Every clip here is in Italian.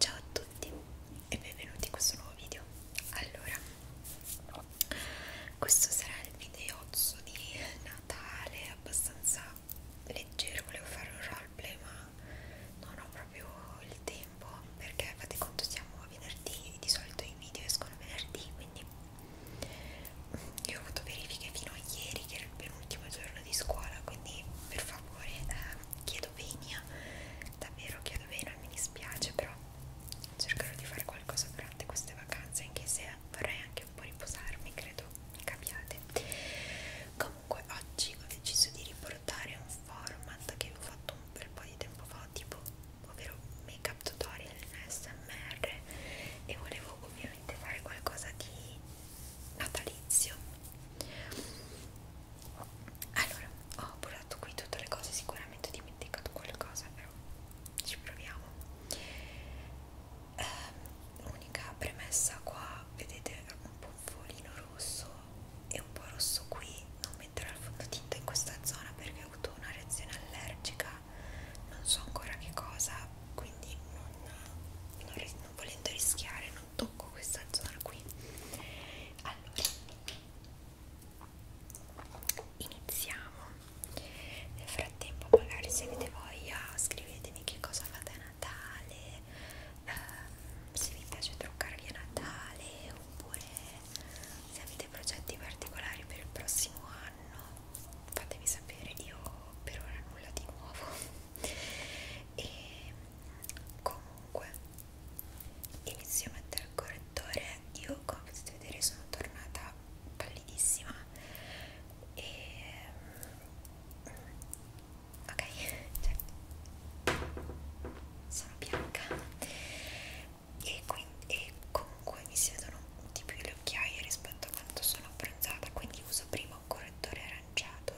Ciao a tutti e benvenuti in questo nuovo video. Allora, questo sarà il videozzo di Natale, abbastanza leggero, volevo fare un roleplay ma non ho proprio il tempo perché fate conto siamo a venerdì, di solito i video escono venerdì, quindi io ho avuto verifiche fino a ieri che era il penultimo giorno di scuola, quindi per favore eh, Chiedovenia davvero Chiedovena mi dispiace però cercherò di fare qualcosa durante queste vacanze anche se vorrei anche un po' riposarmi credo mi capiate comunque oggi ho deciso di riportare un format che ho fatto un bel po' di tempo fa tipo ovvero make up tutorial smr e volevo ovviamente fare qualcosa di natalizio allora ho portato qui tutte le cose sicuramente ho dimenticato qualcosa però ci proviamo um, unica premessa qua vedete un po' un folino rosso e un po' rosso qui non metterò il fondotinta in questa zona perché ho avuto una reazione allergica non so ancora che cosa quindi non, non, non volendo rischiare non tocco questa zona qui allora iniziamo nel frattempo magari se avete voglia scrivetemi che cosa fate a Natale ehm, se vi piace truccarvi a Natale oppure se avete progetti particolari per il prossimo anno fatemi sapere io per ora nulla di nuovo e comunque inizio a mettere il correttore io come potete vedere sono tornata pallidissima e ehm, ok cioè, sono bianca e, quindi, e comunque mi si vedono di più le occhiaie rispetto a quanto sono abbronzata quindi uso prima un correttore aranciato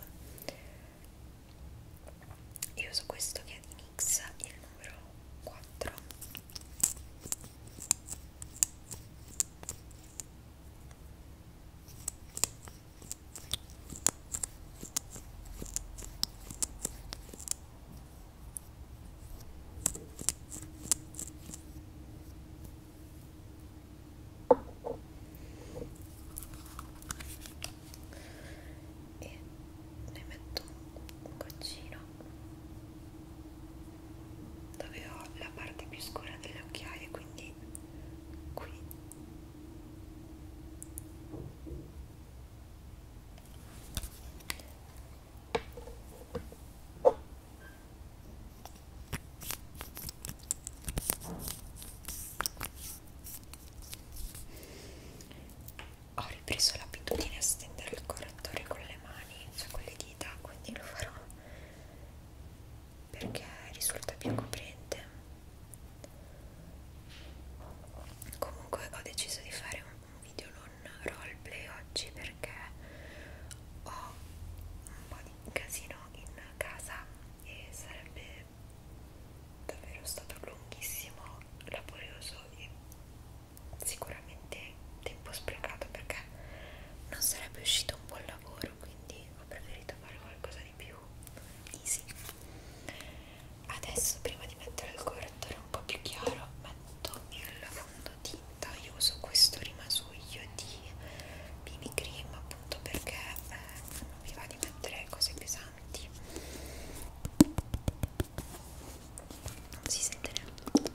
io uso questo che è di NYX il numero 4 e ne metto un goccino dove ho la parte più scura delle occhiaie quindi qui ho ripreso l'abitudine a stendere il correttore con le mani, cioè con le dita, quindi lo farò perché risulta più coprente. Comunque ho deciso di fare un, un video non roleplay oggi perché ho un po' di casino in casa e sarebbe davvero stato lunghissimo, laborioso e sicuramente tempo sprecato perché non sarebbe uscito un buon lavoro quindi ho preferito fare qualcosa di più easy adesso prima di mettere il correttore un po' più chiaro metto il fondotinta io uso questo rimasuglio di BB cream appunto perché eh, non mi va di mettere cose pesanti avanti non si sente neanche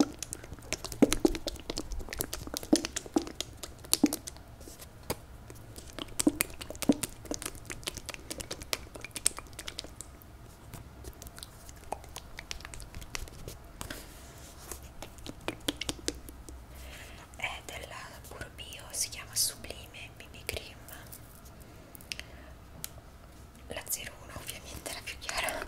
è della Puro Bio, si chiama Sublime BB Cream la 01 ovviamente era più chiara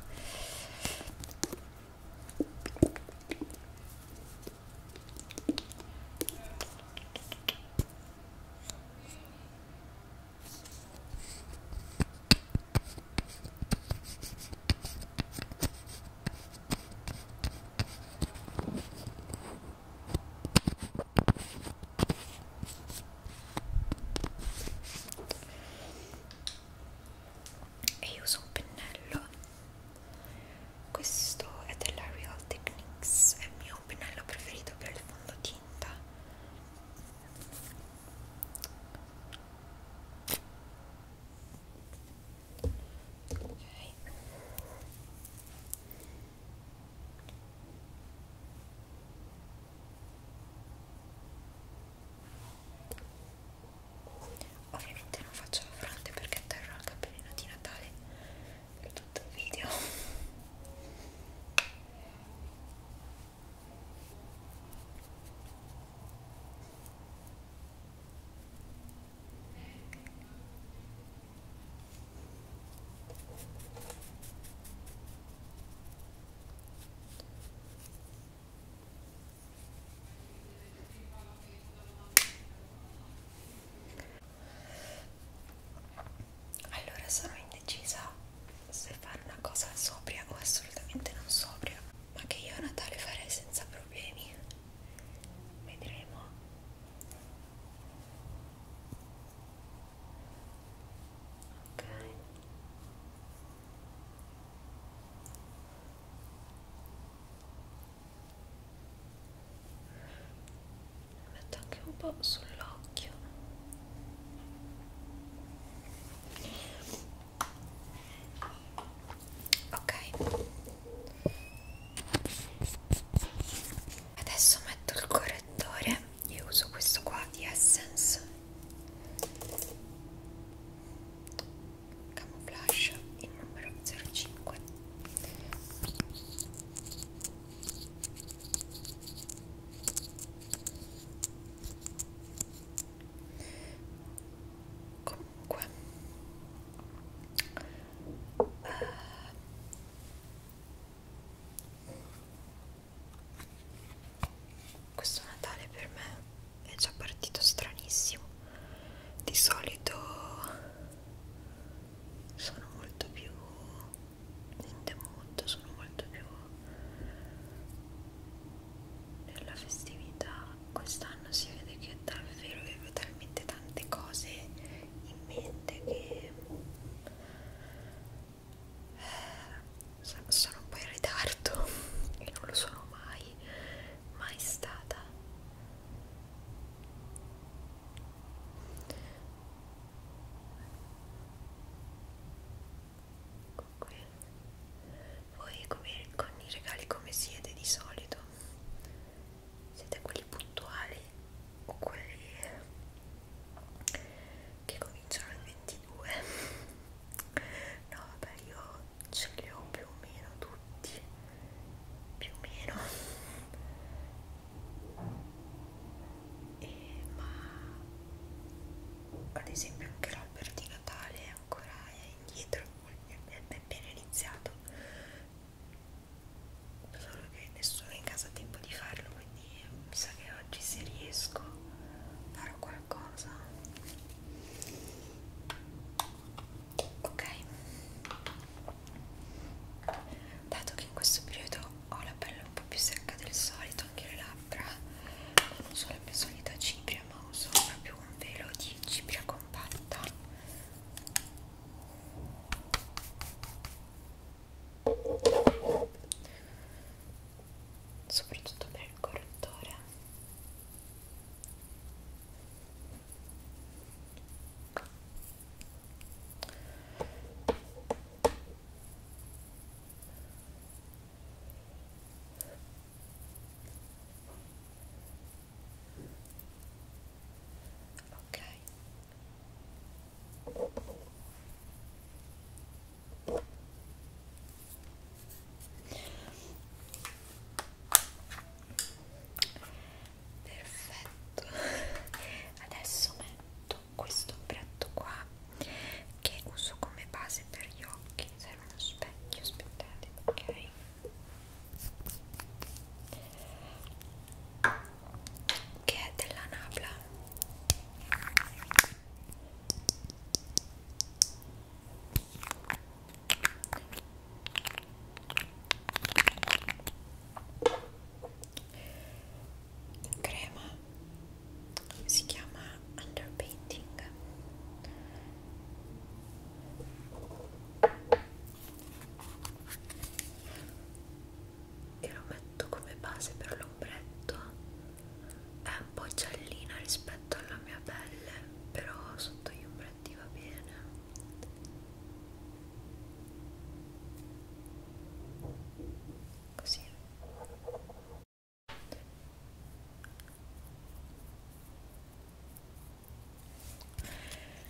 e io uso un pennello questo è della Real Techniques è il mio pennello preferito per il fondotinta ok Ovviamente non faccio la fronte perché terrò il cappellino di Natale per tutto il video. Allora sono indecisa se fare una cosa sobria o assolutamente non sobria, ma che io a Natale farei senza problemi. Vedremo ok metto anche un po' sull'occhio ok adesso metto il correttore io uso questo qua di Essence Camouflage il numero 05 comunque uh, questo Natale per me è già partito stranissimo. Di solito sono molto più in the mood, sono molto più nella festività. Quest'anno si vede che davvero avevo talmente tante cose in mente che sono un po' in ritardo e non lo sono mai mai stata ecco qui voi come, con i regali come siete di solito siete quelli puntuali piccoli o quelli che cominciano al 22 no vabbè io ce li ho più o meno tutti più o meno e, ma ad esempio anche l'albero di Natale è ancora indietro è appena iniziato sono solo che nessuno in casa ha tempo di farlo quindi mi sa che oggi se riesco farò qualcosa ok dato che in questo periodo ho la pelle un po' più secca del solito anche le labbra non uso la mia solita cipria ma uso proprio un velo di cipria compatta soprattutto per il correttore ok Perfetto, adesso metto questo ombretto qua che uso come base per gli occhi. Serve uno specchio, aspettate, ok? Che è della Nabla crema si chiama underpainting e lo metto come base per l'ombretto è un po' giallina rispetto alla mia pelle però sotto gli ombretti va bene così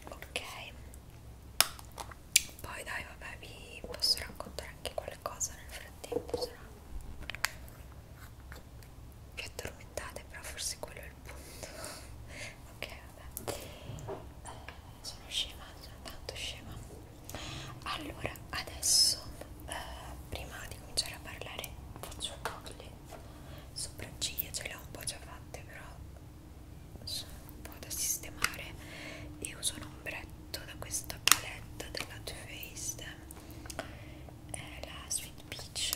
ok poi dai vabbè vi posso raccontare anche qualcosa nel frattempo se no vi addormentate però forse quello è il punto ok vabbè eh, sono scema sono tanto scema allora adesso eh, prima di cominciare a parlare faccio un po' le sopracciglia ce le ho un po' già fatte però sono un po' da sistemare e uso un ombretto da questa paletta della Too Faced è la Sweet Peach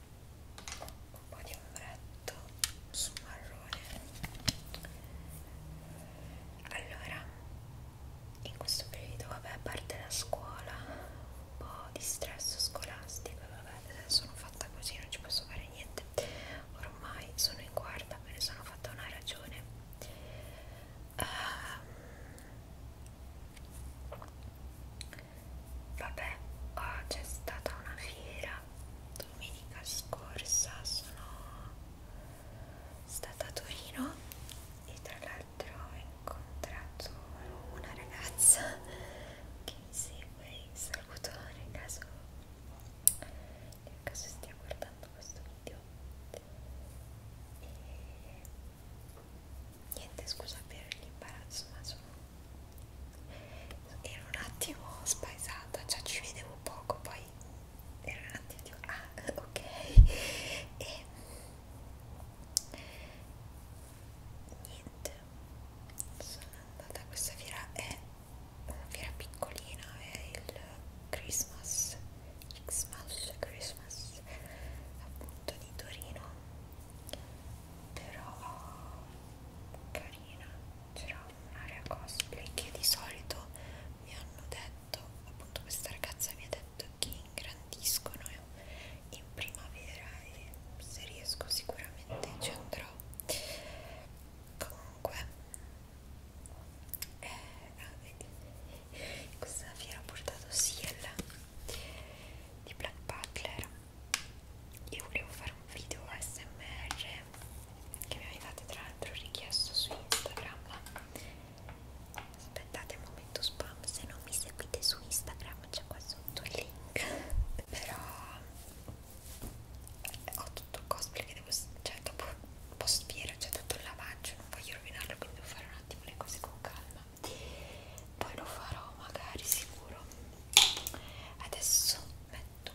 un po' di ombretto su marrone allora in questo periodo vabbè a parte la scuola un po' di stress scolastico vabbè sono fatta così non ci posso fare niente ormai sono in guarda me ne sono fatta una ragione um, vabbè oh, c'è stata una fiera domenica scorsa sono stata a Torino e tra l'altro ho incontrato una ragazza che mi segue saluto nel caso nel caso stia guardando questo video e niente scusa per l'imbarazzo ma sono ero un attimo spaesata, cioè ci vedevo poco, poi ero un attimo tipo, ah ok e niente sono andata a questa fiera è una fiera piccolina è il Christmas Xmas Christmas appunto di Torino però carina carina c'era un'area cosplay che di solito mi hanno detto appunto questa ragazza mi ha detto che ingrandiscono in primavera e se riesco sicuramente ci andrò comunque eh, questa fiera ha portato Seal di Black Butler io volevo fare un video ASMR che mi avevate tra l'altro richiesto su Instagram aspettate un momento spam se non mi seguite su Instagram c'è qua sotto il link però ho tutto il cosplay che devo cioè dopo post fiera c'è tutto il lavaggio non voglio rovinarlo quindi devo fare un attimo le cose con calma poi lo farò magari sicuro adesso metto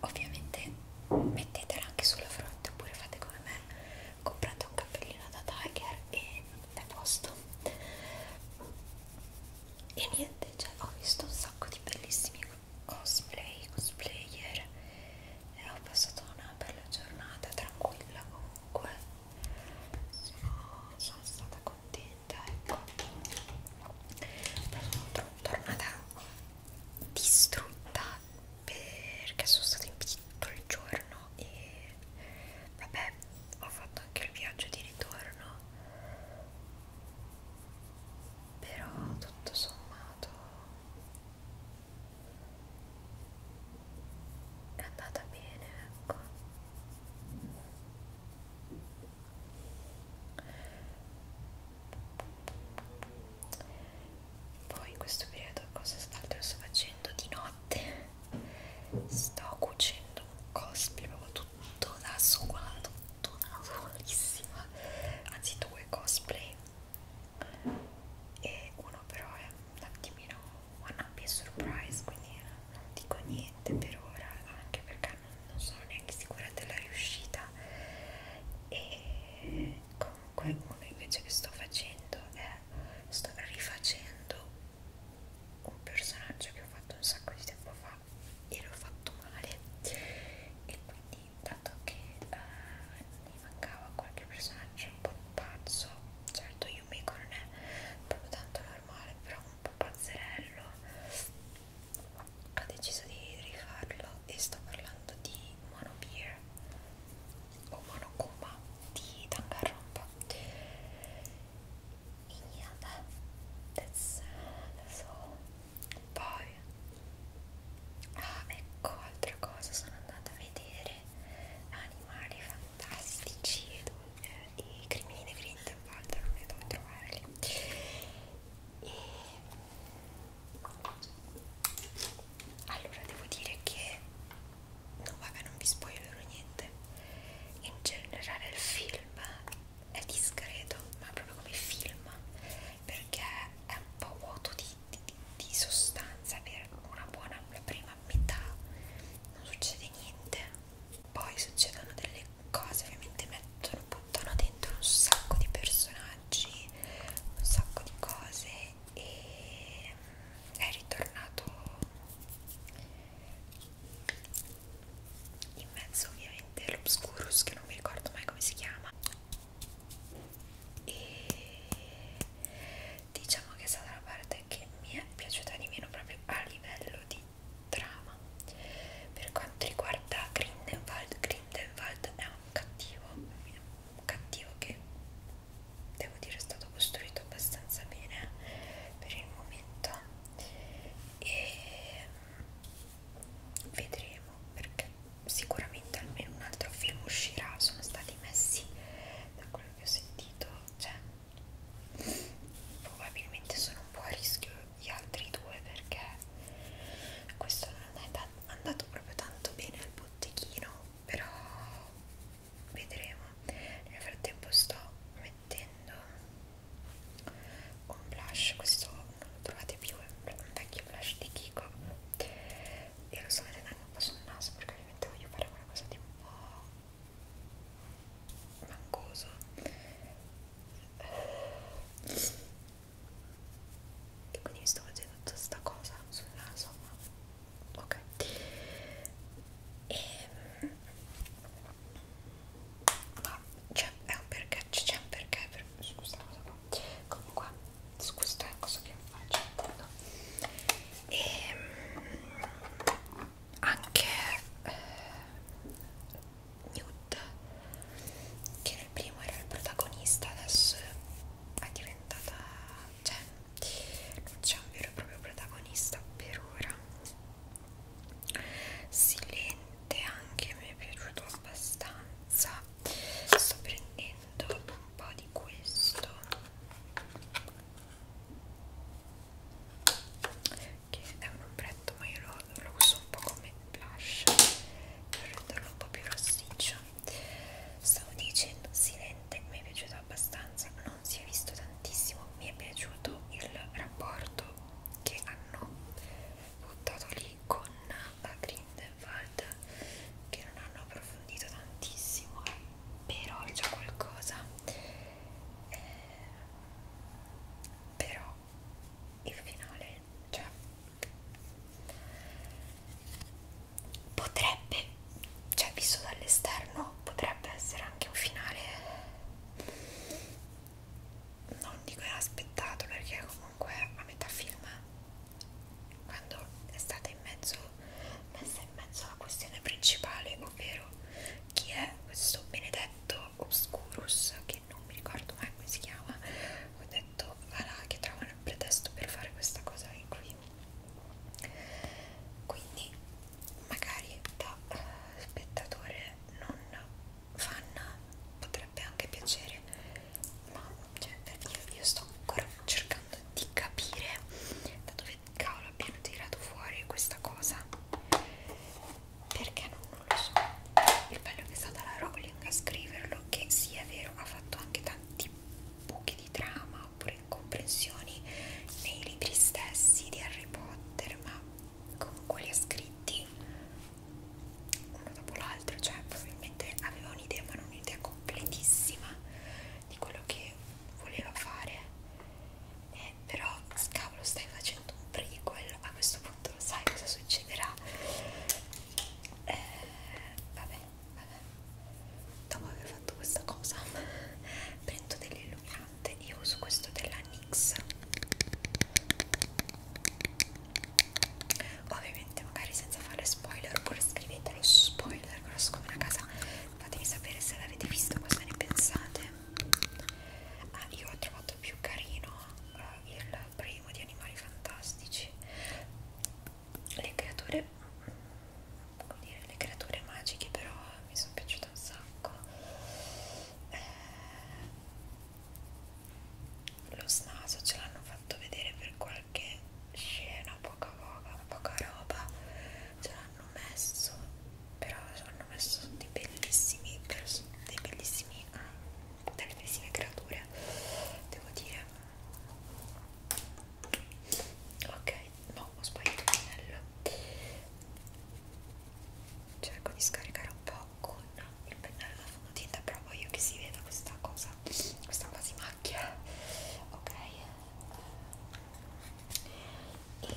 Ovviamente mettetela anche sulla fronte oppure fate come me, comprate un cappellino da tiger e è posto. E niente, cioè, ho visto un sacco di bellissimi cosplay, cosplayer e ho passato una bella giornata tranquilla comunque. Sono, sono stata contenta veramente ecco però sono tornata distrutta perché sono stata in bici tutto il giorno e vabbè ho fatto anche il viaggio di ritorno però tutto sommato è andata bene ecco poi in questo periodo cosa altro sto facendo di notte? Sto cucendo un cosplay proprio tutto da sola, tutto da solissima. Anzi due cosplay e uno però è un attimino one up surprise, quindi non dico niente per ora, anche perché ora non, non sono neanche sicura della riuscita e comunque uno invece che sto facendo è sto rifacendo un personaggio che ho fatto un sacco di tempo fa e l'ho fatto male e quindi dato che uh, mi mancava qualche personaggio un po' pazzo certo Yumiko non è proprio tanto normale però un po' pazzerello ho deciso di rifarlo e sto parlando di Mono Beer o Mono Kuma di Danganronpa yeah, that, that's, that's all poi ah ecco altra cosa sono andata a vedere animali fantastici e, e crimini dei Grindelwald non ne devo trovarli e allora devo dire che no vabbè non vi spoilerò niente in generale il film è discreto ma proprio come film perché è un po' vuoto di, di, di sostanza per una buona la prima metà non succede niente poi succedono delle cose ovviamente mettono, buttano dentro un sacco di personaggi, un sacco di cose e mm, è ritornato in mezzo ovviamente all'Obscurus che non mi ricordo mai come si chiama e diciamo che è stata la parte che mi è piaciuta di meno proprio a livello di trama. Per quanto riguarda Grindelwald, Grindelwald è un cattivo, un cattivo che devo dire è stato costruito abbastanza bene per il momento e mm, vedremo perché sicuramente almeno un altro film uscirà, sono stati messi da quello che ho sentito, cioè probabilmente sono un po' a rischio gli altri due perché questo non è andato proprio tanto bene al botteghino però vedremo nel frattempo sto mettendo un blush questo non lo trovate più è un vecchio blush di Kiko e lo sto mettendo anche un po' sul naso perché ovviamente voglio fare qualcosa di un po' mancoso e quindi mi sto facendo tutta sta cosa sul naso ma ok e ehm, ma c'è un perché c'è un perché per, su questa cosa qua comunque su questa cosa che faccio no? e ehm, anche eh, Newt che nel primo era il protagonista adesso è diventata cioè non c'è un vero e proprio protagonista per ora Silente anche mi è piaciuto abbastanza sto prendendo un po' di questo che è un ombretto ma io lo, lo uso un po' come blush per renderlo un po' più rossiccio stavo dicendo silente mi è piaciuto abbastanza non si è visto tantissimo mi è piaciuto il rapporto che hanno buttato lì con la Grindelwald che non hanno approfondito tantissimo però c'è qualcosa eh, però il finale cioè potrebbe cioè visto dall'esterno potrebbe essere anche un finale non dico inaspettato perché comunque a metà film quando è stata in mezzo messa in mezzo alla questione principale ovvero chi è questo benedetto Obscurus che che non mi ricordo mai come si chiama ho detto voilà, che trovano il pretesto per fare questa cosa in qui quindi magari da uh, spettatore non fan potrebbe anche piacere ma cioè, io, io sto ancora cercando di capire da dove cavolo abbiano tirato fuori questa cosa perché non, non lo so il bello che è stata la Rowling a scriverlo che sì è vero ha fatto anche tanti buchi di trama oppure incomprensioni nei libri stessi di Harry Potter ma comunque li ha scritti uno dopo l'altro cioè probabilmente aveva un'idea ma non un'idea completissima di quello che voleva fare eh, però scavolo stai facendo un prequel a questo punto lo sai cosa succederà eh, vabbè, vabbè dopo aver fatto questa cosa prendo dell'illuminante io uso questo della NYX ovviamente magari senza fare spoiler oppure scrivetelo spoiler grosso come una casa fatemi sapere se l'avete visto cosa ne pensate ah, io ho trovato più carino uh, il primo di Animali Fantastici le creature come dire, le creature magiche però mi sono piaciute un sacco eh, lo snaso ce l'hanno fatto vedere per qualche scena poca poca, poca roba ce l'hanno messo però hanno messo dei bellissimi dei bellissimi dalle medesime creature devo dire ok no ho sbagliato il pennello cerco di scaricare un po' con il pennello da fondotinta però voglio che si veda questa cosa questa quasi macchia ok e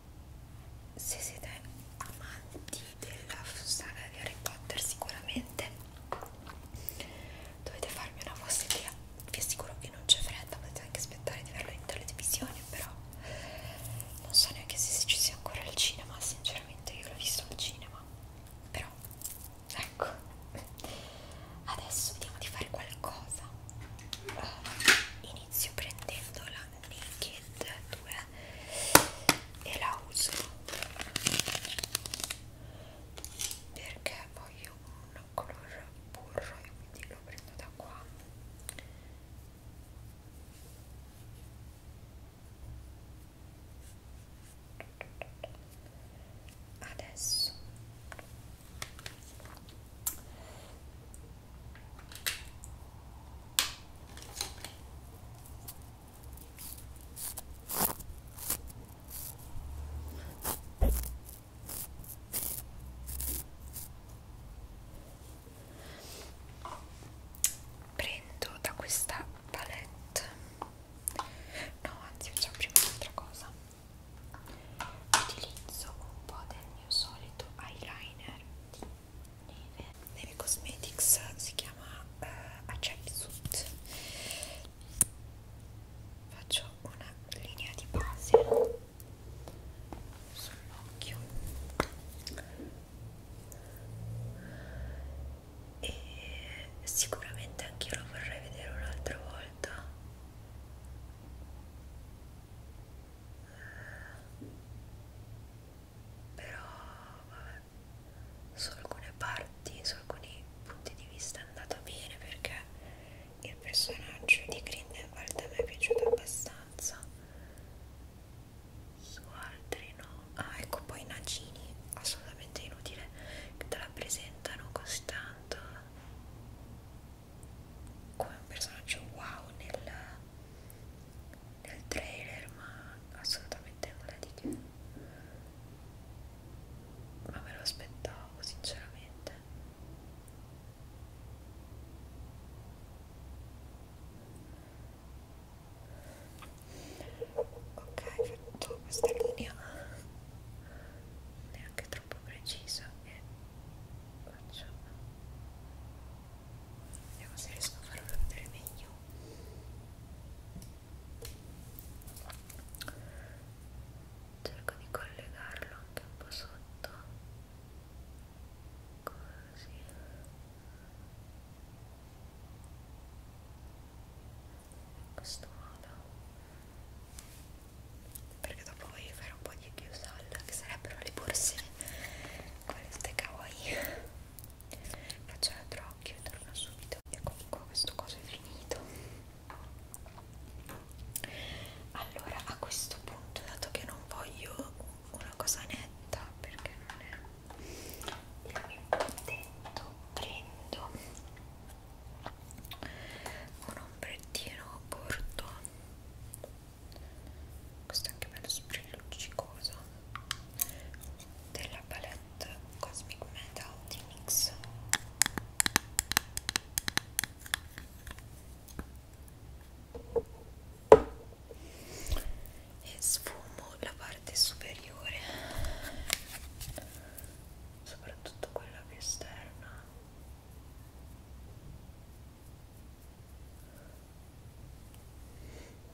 se siete amanti della saga di Harry Potter sicuramente dovete farmi una vostra idea vi assicuro che non c'è fretta potete anche aspettare di averlo in televisione però non so neanche se ci sia ancora al cinema sinceramente io l'ho visto al cinema però ecco adesso vediamo di fare qualcosa inizio prendendo la Naked kit 2 e la uso perché voglio un color burro e quindi lo prendo da qua adesso Prendo da questa palette, no, anzi, facciamo prima un'altra cosa. Utilizzo un po' del mio solito eyeliner di Neve Neve Cosmetics si chiama uh, eh, Accept Suit faccio una linea di base sull'occhio e sicuramente anche io lo vorrei vedere un'altra volta eh, però vabbè su alcune parti, su alcuni punti di vista è andato bene perché il personaggio di Grindelwald mi è piaciuto abbastanza su altri no ah ecco poi Nagini assolutamente inutile che te la presentano così tanto come un personaggio wow nel nel trailer ma assolutamente nulla di che ma me lo aspettavo sinceramente ok fatto questa linea neanche troppo precisa e faccio vediamo se riesco a farlo vedere meglio cerco di collegarlo anche un po' sotto così in questo modo perché dopo voglio fare un po' di chiusal che sarebbero le borse queste kawaii faccio l'altro occhio e torno subito ecco qua questo coso è finito allora a questo punto dato che non voglio una cosa netta perché non è il mio intento prendo un ombrettino corto questo è anche bello sprilluccicoso della palette Cosmic Metal di NYX e sfumo la parte superiore soprattutto quella più esterna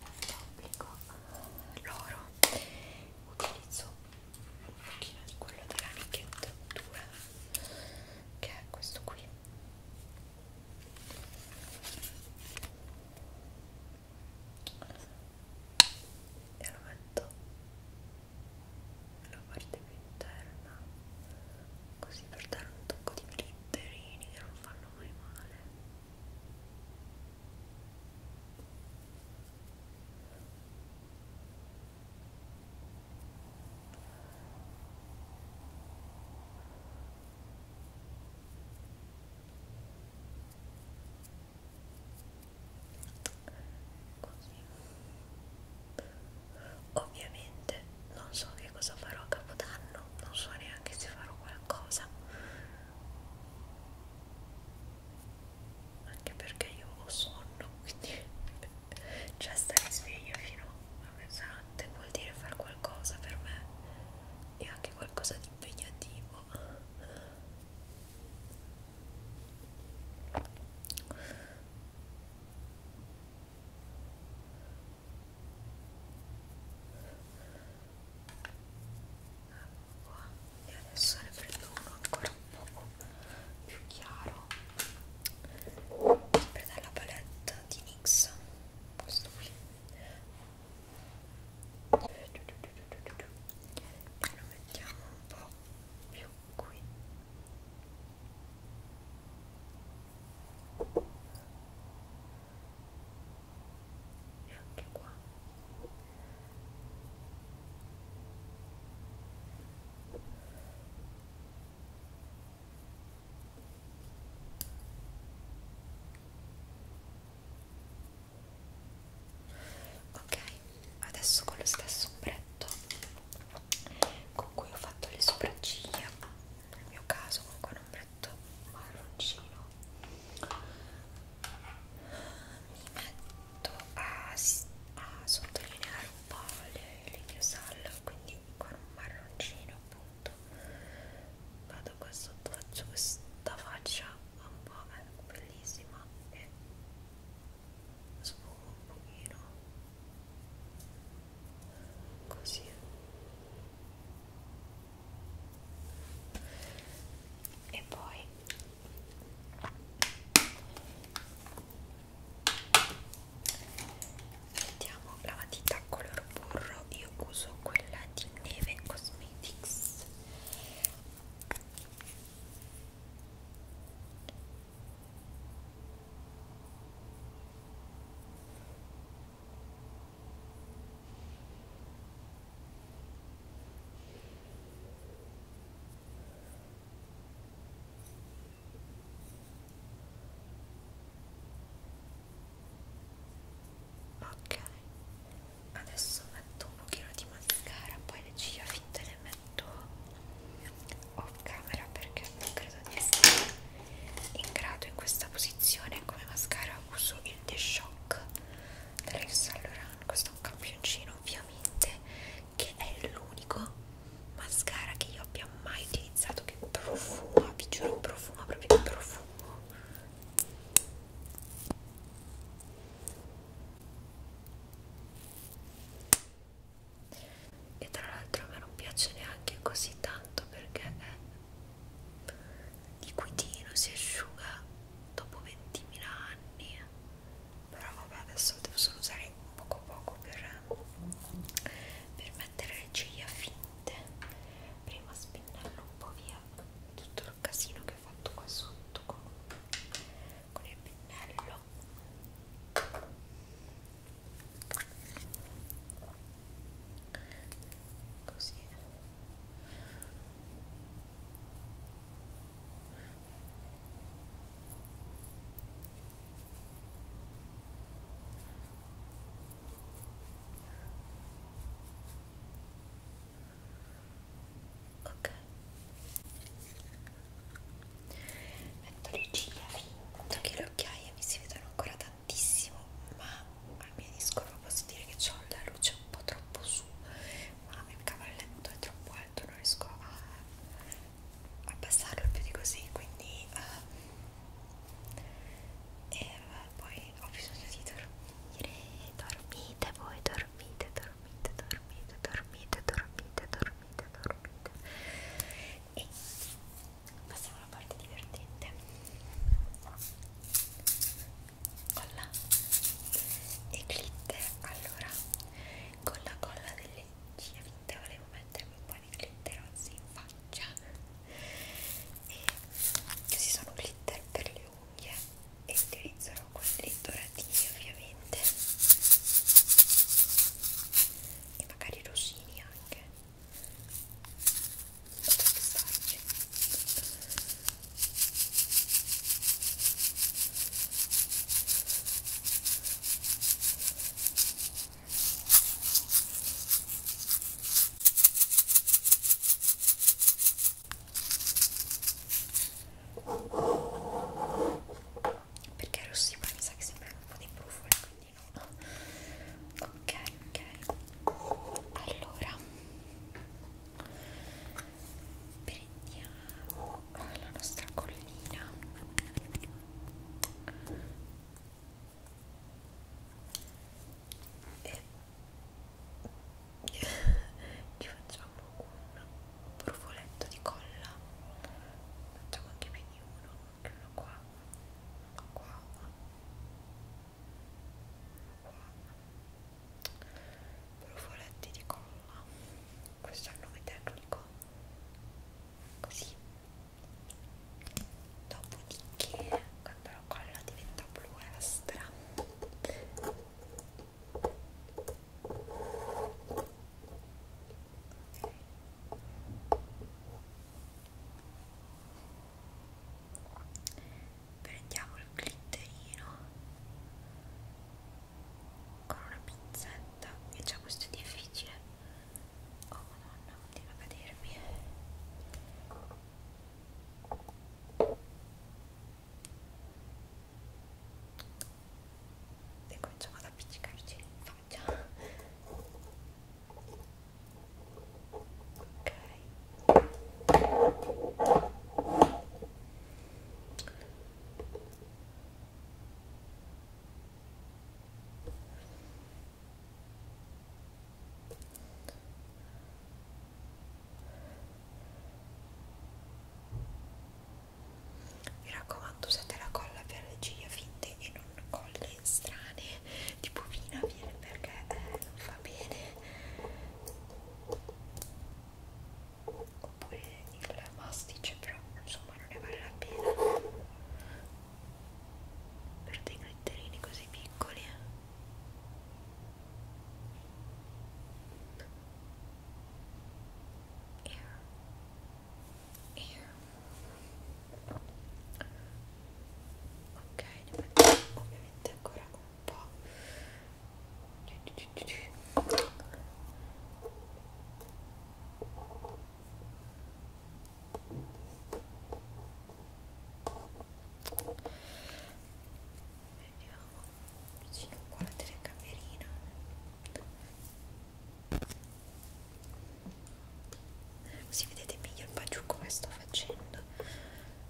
applico l'oro utilizzo un pochino di quello della Nicchetta Dura che è questo qui e lo metto nella parte più interna così per dare un tocco di glitterini che non fanno mai male Così. Ovviamente non so che cosa farò a Capodanno, non so neanche se farò qualcosa anche perché io ho sonno quindi cioè stare sveglia fino a mezzanotte vuol dire fare qualcosa per me e anche qualcosa di impegnativo qua e adesso ne prendo uno ancora un poco più chiaro sempre dalla palette di NYX questo qui e lo mettiamo un po' più qui e anche qua ok adesso con lo stesso ombretto con cui ho fatto le sopracciglia nel mio caso con un ombretto berretto marroncino mi metto a, a sottolineare un po' le, le mie sal quindi con un marroncino appunto vado qua sotto faccio questa faccia un po' è eh, bellissima e sfumo un pochino così e poi mettiamo la matita color burro io uso quella di Neve Cosmetics Ok, adesso metto un pochino di mascara, poi le ciglia finte le metto off camera perché non credo di essere in grado in questa posizione. Come mascara uso il niente shock della Saint Laurent questo è un campioncino ovviamente che è l'unico mascara che io abbia mai utilizzato che profuma vi giuro profuma proprio il profumo e tra l'altro a me non piace neanche così tanto perché è liquidino si asciuga dopo 20.000 anni però vabbè adesso devo solo usare poco poco per, per mettere le ciglia finte prima spennello un po' via tutto il casino che ho fatto qua sotto con, con il pennello così Ok, metto le ciglia finta che le occhiaie mi si vedono ancora tantissimo, ma al mio discorso posso dire che ho la luce un po' troppo su ma il cavalletto è troppo alto non riesco a abbassarlo più di così quindi uh, e uh, poi ho bisogno di dormire dormite voi dormite dormite dormite dormite dormite dormite dormite e passiamo alla parte divertente colla e glitter allora con la colla delle ciglia volevo mettermi un po' di glitter rossi in faccia e questi sono glitter per le unghie e utilizzerò quelli doratini ovviamente e magari rossini anche perché rossi poi mi sa che sembrano un po' di brufoli quindi no ok ok allora prendiamo la nostra collina e ci facciamo un brufoletto di colla facciamo anche più di uno anche uno qua uno qua uno qua brufoletti di colla questo è il nome tecnico così dopodiché quando la colla diventa bluastra prendiamo il glitterino con una pinzetta e già questo è difficile oh madonna continua a cadermi e cominciamo ad appiccicarci in faccia ok mi raccomando, usate la colla per le ciglia finte e non colle strane tipo vina viene perché eh, non fa bene oppure il mastice però insomma non ne vale la pena per dei glitterini così piccoli eh. Air. Air. ok ne mettiamo ovviamente ancora un po'. Vediamo, sì, qua la telecamerina. Così vedete meglio il baciucco come sto facendo.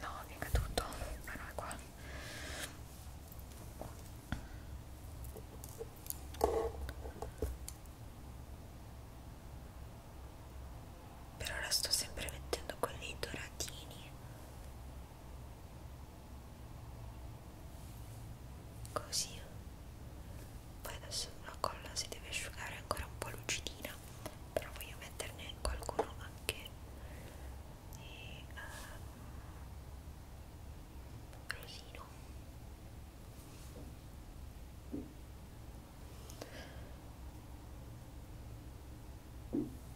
No, mi è caduto, ma no, è qua. Per ora sto sempre mettendo quelli doratini così poi adesso la colla si deve asciugare ancora un po' lucidina però voglio metterne qualcuno anche di uh, rosino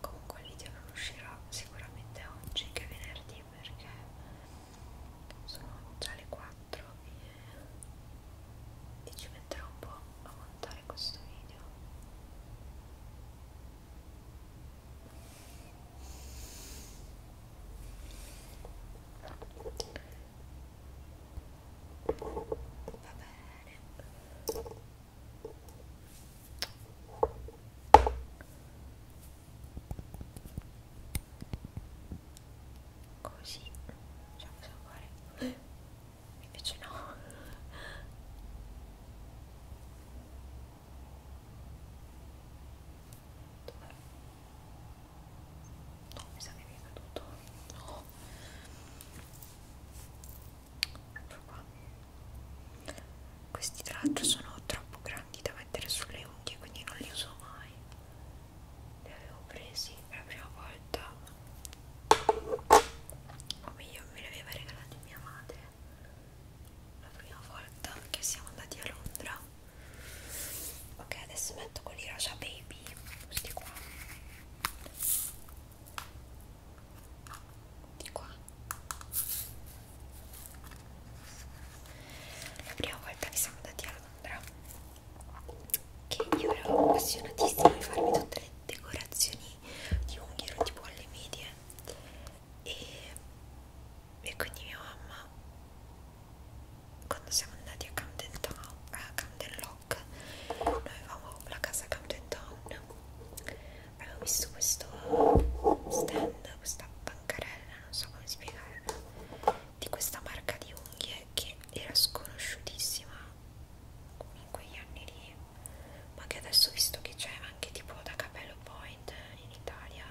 comunque il video non uscirà sicuramente oggi che è venerdì perché sono già le 4 e, e ci metterò un po' a montare questo video va bene così facciamo salvare invece no dove No, mi sa che mi è caduto. No. Ecco qua. Questi tra l'altro sono troppo grandi da mettere sulle unghie, quindi non li uso mai. Li avevo presi per la prima volta. O meglio, me li aveva regalati mia madre la prima volta che siamo andati a Londra ok adesso metto quelli rosa baby questi qua di qua la prima volta che siamo andati a Londra che io ero appassionatissima di farmi tutte le decorazioni di unghie tipo alle medie e, e quindi mia mamma quando siamo andati a Camden Town a Camden Lock noi avevamo la casa Camden Town avevo visto questo stand questa bancarella non so come spiegarla di questa marca di unghie che era sconosciutissima in quegli anni lì ma che adesso visto che c'è anche tipo da Capello Point in Italia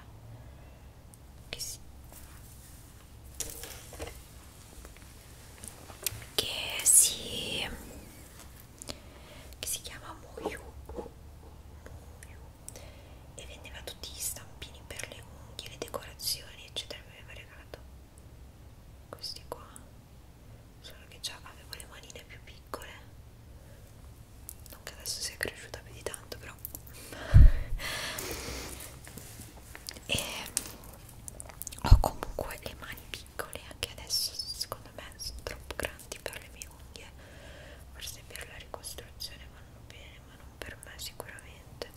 che, si, che si che si chiama Moyu, Moyu e vendeva tutti gli stampini per le unghie, le decorazioni eccetera mi aveva regalato questi qua solo che già avevo le manine più piccole non che adesso sia cresciuta più di tanto però e ho comunque le mani piccole anche adesso secondo me sono troppo grandi per le mie unghie forse per la ricostruzione vanno bene ma non per me sicuramente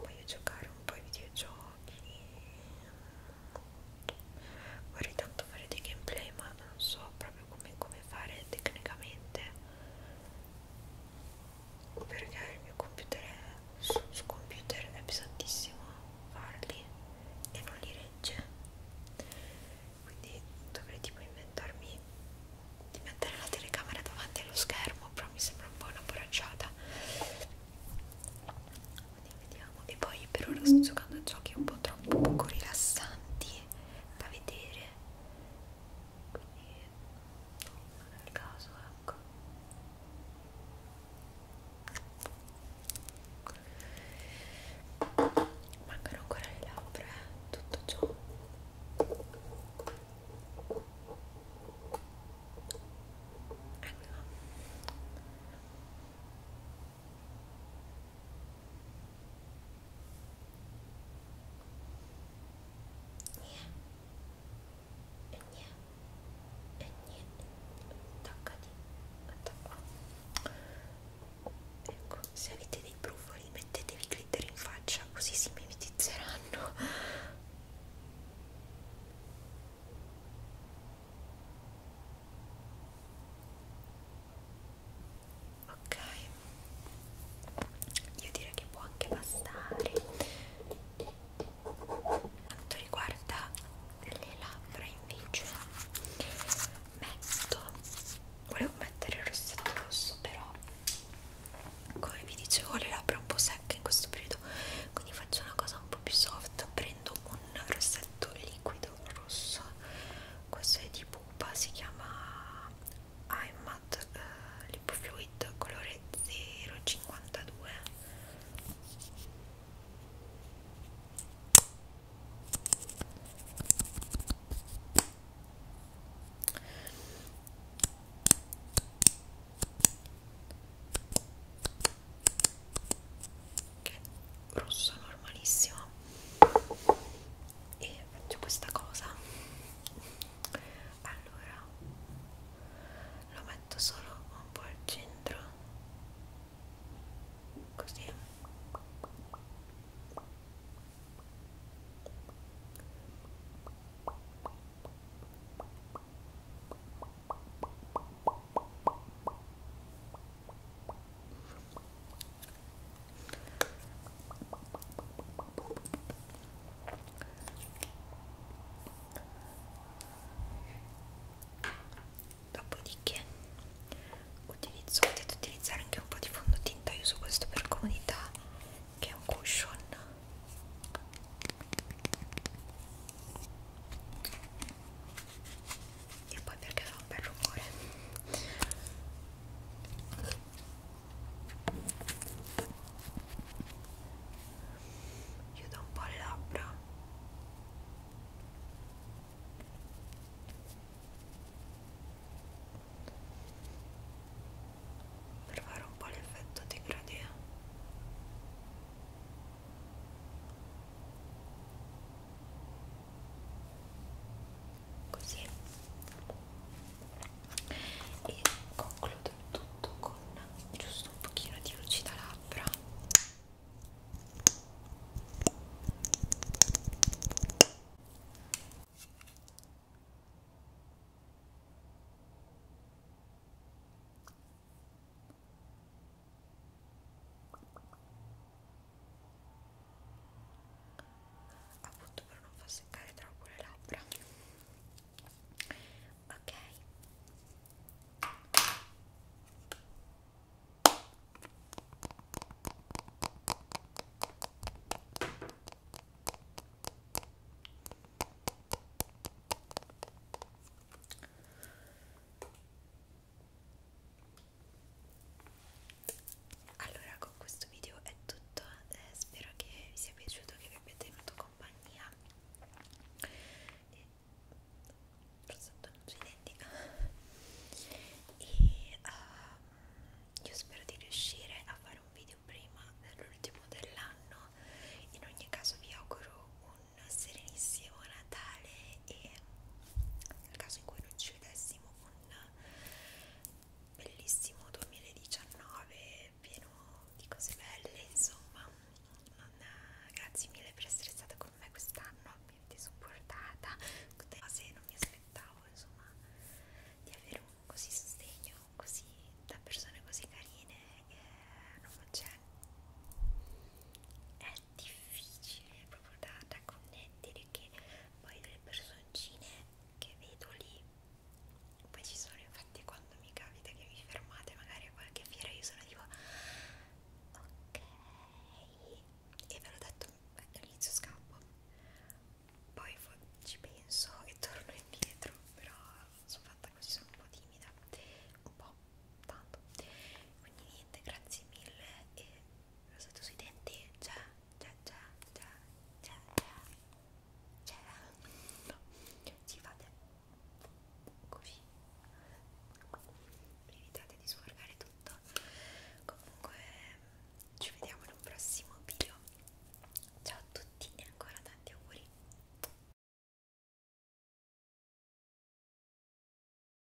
voglio giocare un po' ai videogiochi vorrei tanto fare dei gameplay ma non so proprio come, come fare tecnicamente perché il mio computer è, su, su computer è pesantissimo farli e non li regge quindi dovrei tipo inventarmi di mettere la telecamera davanti allo schermo però mi sembra un po' una borracciata quindi vediamo e poi per ora sto giocando a giochi un po' troppo poco rilassanti da vedere quindi non è il caso ecco mancano ancora le labbra eh? tutto ciò Ecco e niente e niente toccati Attacco. ecco se avete dei brufoli mettetevi glitter in faccia così si mimetizzeranno ok io direi che può anche bastare quanto riguarda le labbra invece metto volevo mettere il rossetto rosso però come vi dicevo le labbra un po' secche in questo periodo quindi faccio una cosa un po' più soft prendo un rossetto liquido ed un rosso questo è di pupa si chiama iMat eh, Lip Fluid colore 052 che è rosso normalissimo e faccio questa cosa allora lo metto solo un po' al centro così Dopodiché utilizzo, potete utilizzare anche un po' di fondotinta, io uso questo per comodità che è un cushion e poi perché fa un bel rumore chiudo un po' le labbra per fare un po' l'effetto degradé così e concludo tutto con giusto un pochino di lucida labbra appunto per non far seccare troppo le labbra ok allora con questo video è tutto eh, spero che vi sia piaciuto che vi abbia tenuto compagnia e prosciutto non sui denti e uh, io spero di riuscire a fare un video prima dell'ultimo eh, dell'anno in ogni caso vi auguro un un serenissimo Natale e nel caso in cui non ci vedessimo un bellissimo 2019 pieno di cose belle insomma non, grazie mille per essere stata con me quest'anno mi avete supportata cose non mi aspettavo insomma di avere un così sostegno così da persone così carine eh, non c'è è difficile proprio da, da connettere che poi le personcine che vedo lì poi ci sono infatti quando mi capita che vi fermate magari a qualche fiera io sono tipo ok e ve l'ho detto all'inizio scappo poi ci penso e torno indietro però sono fatta così sono un po' timida un po' tanto quindi niente grazie mille e rosetto sui denti già già già già già già no. ci fate così evitate di sforgare tutto comunque ci vediamo in un prossimo video ciao a tutti e ancora tanti auguri